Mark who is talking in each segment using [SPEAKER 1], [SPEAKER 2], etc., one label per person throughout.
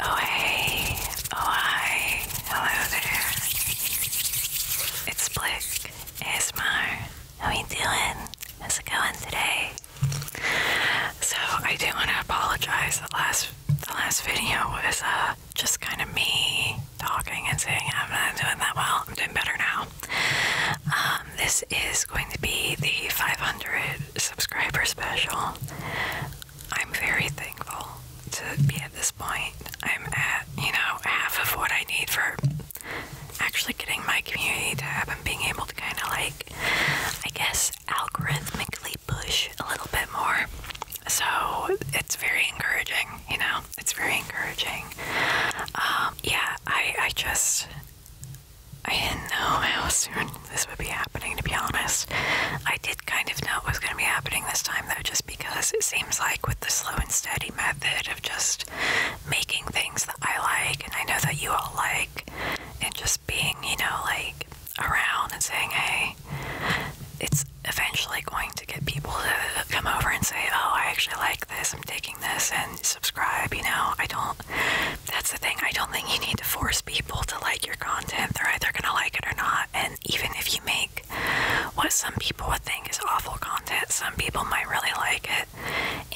[SPEAKER 1] Oh hey, oh hi, hello there. It's Blick ASMR. How you doing? How's it going today? So I do want to apologize. The last the last video was uh, just kind of me talking and saying I'm not doing that well. I'm doing better now. Um, this is going to be the 500 subscriber special. I'm very thankful to be at this point. I'm at, you know, half of what I need for actually getting my community tab and being able to kind of like, I guess, algorithmically push a little bit more. So it's very encouraging, you know, it's very encouraging. Um, yeah, I, I just, I didn't know how soon this would be happening, to be honest. I did kind of know it was going to be happening this time, though, just because it seems like with the slow and steady method of just making things that I like and I know that you all like, and just being, you know, like around and saying, hey, it's eventually going to get people to come over and say, oh, I actually like this, I'm taking this, and subscribe, you know. I don't That's the thing. I don't think you need to force people to like your content. They're either going to like it or not. And even if you make what some people would think is awful content, some people might really like it.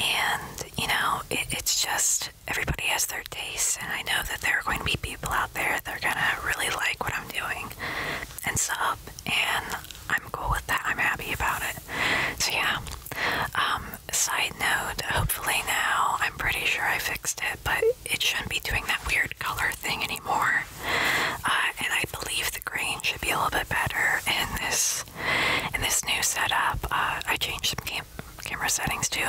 [SPEAKER 1] And, you know, it's just everybody has their tastes. And I know that there are going to be people out there that are going to really like what I'm doing and sub. And I'm cool with that. I'm happy about it. So, yeah. Um, side note, hopefully now, I'm pretty sure I fixed it, but it shouldn't be doing that weird color thing anymore. Uh, and I believe the grain should be a little bit better in this in this new setup. Uh, I changed some camera settings too.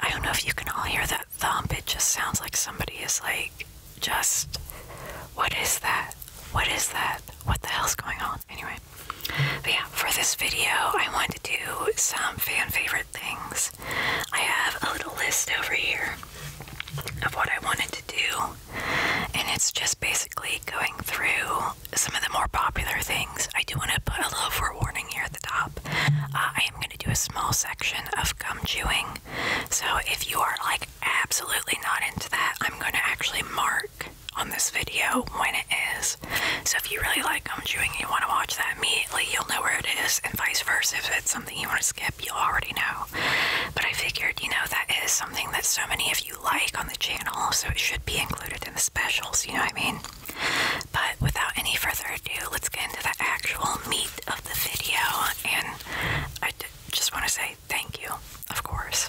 [SPEAKER 1] I don't know if you can all hear that thump. It just sounds like somebody is like, just, what is that? What is that? What the hell's going on? Anyway. But yeah, for this video, I want to do some fan favorite things. I have a little list over here of what I wanted to do, and it's just basically going through some of the more popular things. I do want to put a little forewarning here at the top. Uh, I am going to do a small section of gum chewing, so if you are like absolutely not into that, I'm going to actually mark on this video when it is so if you really like gum chewing and you want to watch that immediately, you'll know where it is, and vice versa. If it's something you want to skip, you'll already know. But I figured, you know, that is something that so many of you like on the channel, so it should be included in the specials, you know what I mean? But without any further ado, let's get into the actual meat of the video, and I just want to say thank you, of course.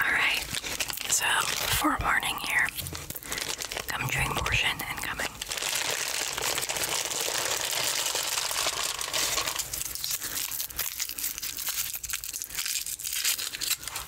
[SPEAKER 1] Alright, so for a here, come during portion and coming.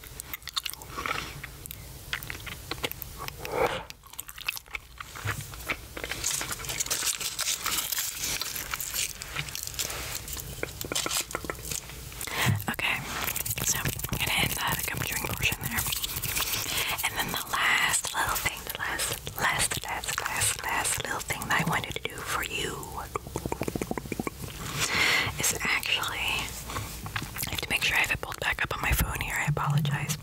[SPEAKER 1] Okay, so I'm gonna end uh, the portion there. And then the last little thing, the last, last, last, last, last little thing that I wanted to do for you is actually I have to make sure I have it pulled back up on my phone here. I apologize.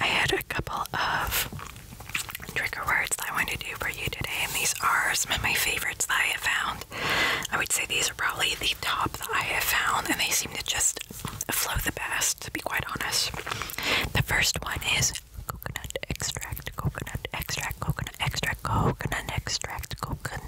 [SPEAKER 1] I had a couple of trigger words that I wanted to do for you today, and these are some of my favorites that I have found. I would say these are probably the top that I have found, and they seem to just flow the best, to be quite honest. The first one is coconut extract, coconut extract, coconut extract, coconut extract, coconut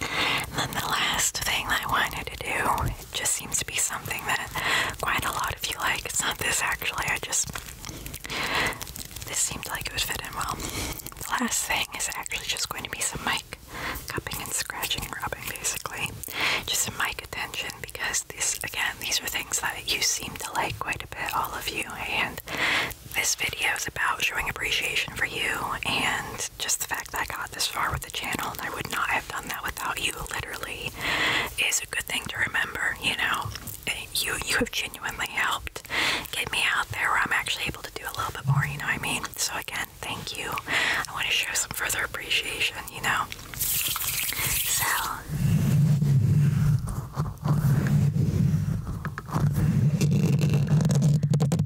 [SPEAKER 1] And then the last thing that I wanted to do, it just seems to be something that quite a lot of you like. It's not this actually, I just, this seemed like it would fit in well. The last thing is actually just going to be some mic cupping and scratching and rubbing basically. Just some mic attention because these, again, these are things that you seem to like quite a bit, all of you. And this video is about showing appreciation for you and just the fact that I got this far with channel, and I would not have done that without you. Literally, is a good thing to remember. You know, eh, you you have genuinely helped get me out there where I'm actually able to do a little bit more. You know what I mean? So again, thank you. I want to show some further appreciation. You know, so.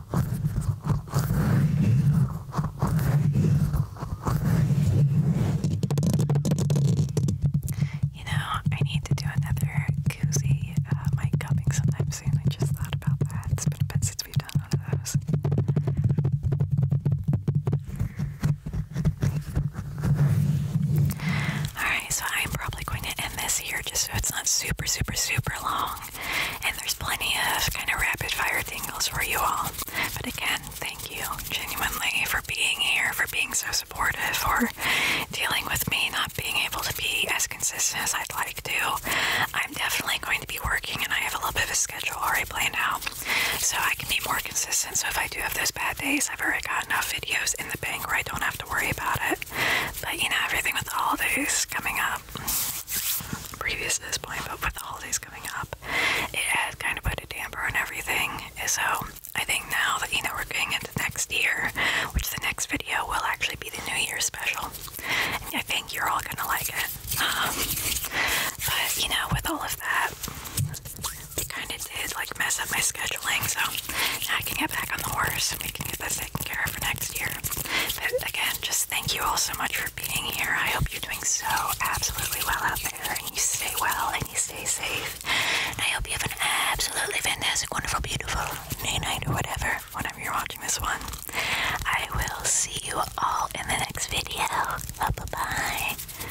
[SPEAKER 1] You know, I need to do another koozie uh, mic cupping sometime soon. I just thought about that. It's been a bit since we've done one of those. Alright, so I'm probably going to end this here just so it's not super, super, super long. And there's plenty of kind of rapid fire things for you all. But again, thank you genuinely for being here, for being so supportive, for dealing with me not being able to be as consistent as I'd like to. I'm definitely going to be working and I have a little bit of a schedule already planned out. So I can be more consistent. So if I do have those bad days, I've already got enough videos in the bank where I don't have to worry about it. But you know, everything with all holidays coming up previous to this point, but with the holidays coming up, it had kind of put a damper on everything. So I think now that you know we're going into next year, which the next video will actually be the New Year special, I think you're all gonna like it. Um, but you know, with all of that, it kind of did like mess up my scheduling. So now I can get back on the horse. and We can get this taken care of for next year. But again, just thank you all so much for being here. I hope you're doing so absolutely well out there and you stay well and you stay safe. And I hope you have an absolutely fantastic, wonderful, beautiful day, night, or whatever, whenever you're watching this one. I will see you all in the next video. bye. -bye.